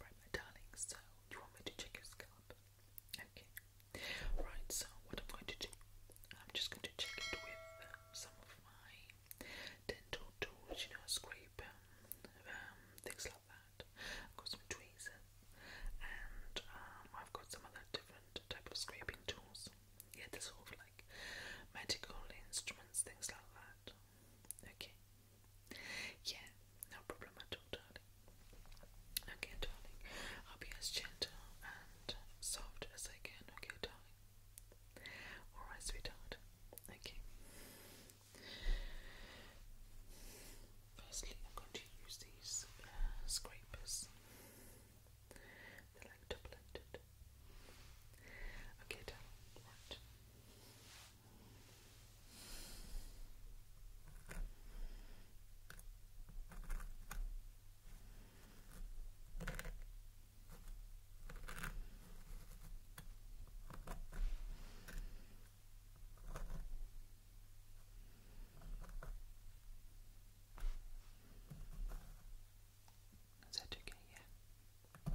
Right, my darling, so you want me to check your scalp? Okay. Right, so what I'm going to do, I'm just going to check it with um, some of my dental tools, you know, scrape, um, um, things like that. I've got some tweezers, and I've got some other different type of scraping tools. Yeah, they sort of like medical instruments, things like that. Okay. Yeah, no problem at all, darling. Okay, darling. I'll be as gentle and soft as I can, okay, darling? Alright, sweetheart. Okay. Firstly, I'm going to use these uh, scrapers. They're like double-ended. Okay, done. Okay. Is that okay? Yeah.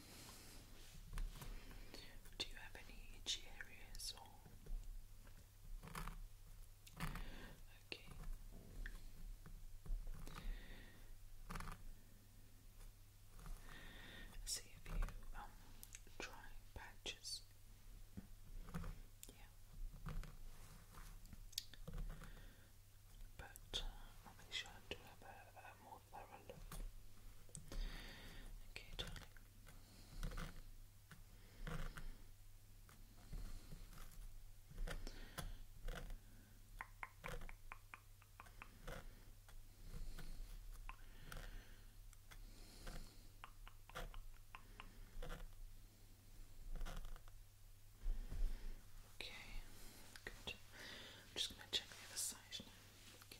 Do you have any itchy areas or okay? See if you um, try patches. Yeah. But uh, I'll make sure I do have a, a more all of Okay, Okay, good. I'm just going to check the other side now. Okay.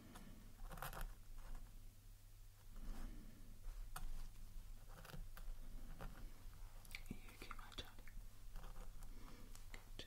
Are you okay, my darling? Good.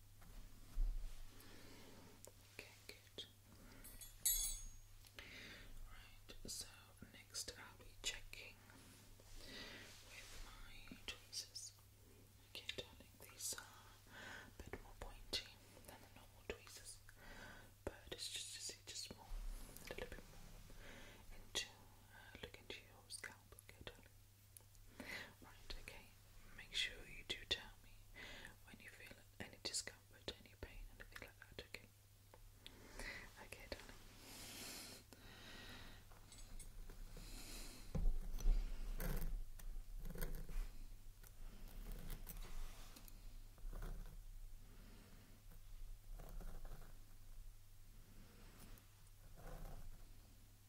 Okay, good. Right, so next I'll be checking with my tweezers. Okay, darling, these are a bit more pointy than the normal tweezers, but it's just to see just more, a little bit more into uh, look into your scalp. Okay, Right, okay. Make sure you do tell me when you feel any discomfort, any pain, anything like that, okay? Okay, darling.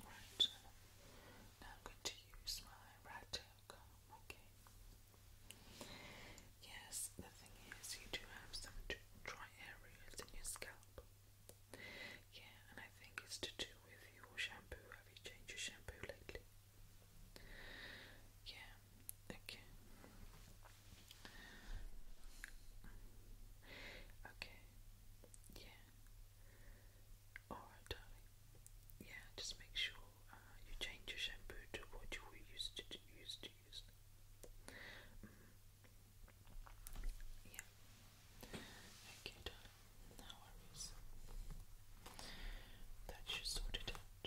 Right. Now I'm going to use my right tail comb, okay? Yes, the thing is, you do have some dry areas in your scalp. Yeah, and I think it's to do with your shampoo. Have you changed your shampoo lately? Yeah, okay. Okay, yeah. Alright, darling. Yeah, just make sure uh, you change your shampoo to what you were used to, use to use. Mm. Yeah. Okay, darling. No worries. That should sort it out.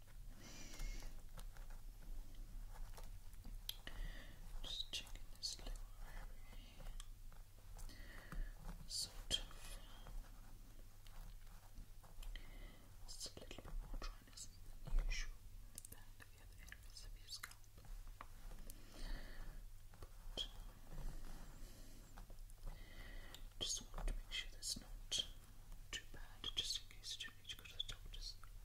Just checking this little area Sort of. Uh, it's a little bit more dryness than usual uh, just want to make sure that's not too bad, just in case each good if it is quite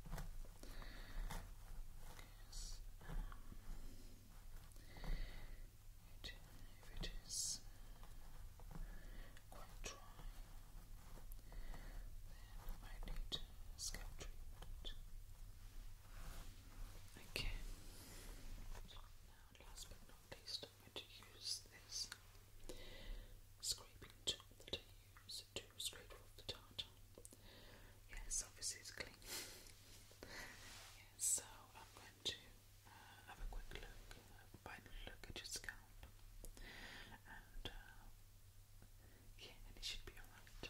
dry, then I might need scalp treatment. Okay. Now, last but not least, I'm going to use this scraping tool Yes, obviously it's clean. so I'm going to uh, have a quick look, uh, final look at your scalp, and uh, yeah, it should be alright.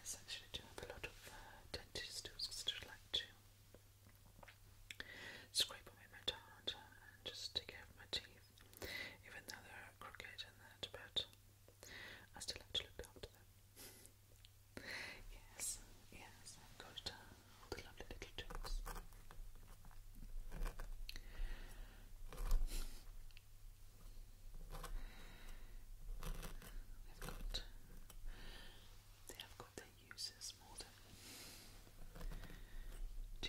Yes, actually, do have a lot of uh, dentist tools because I like scrape away my tartar and just take care of my teeth, even though they're crooked and that, but I still have to look after them. yes, yes, I've got uh, all the little jokes. They've got, their uses more than do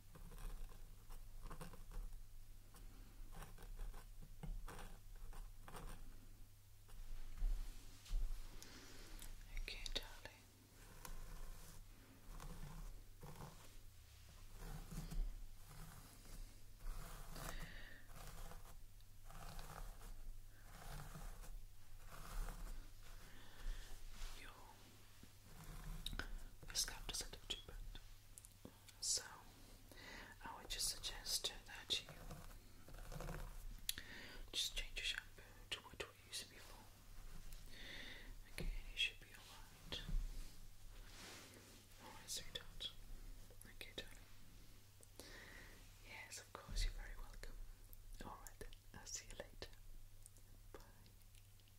Okay, darling. Your scalp doesn't look too bad. So, I would just suggest that you just change your shampoo to what we used before. Okay, you should be alright. Alright, sweetheart. Okay, darling. Yes, of course, you're very welcome. Alright, I'll see you later. Bye.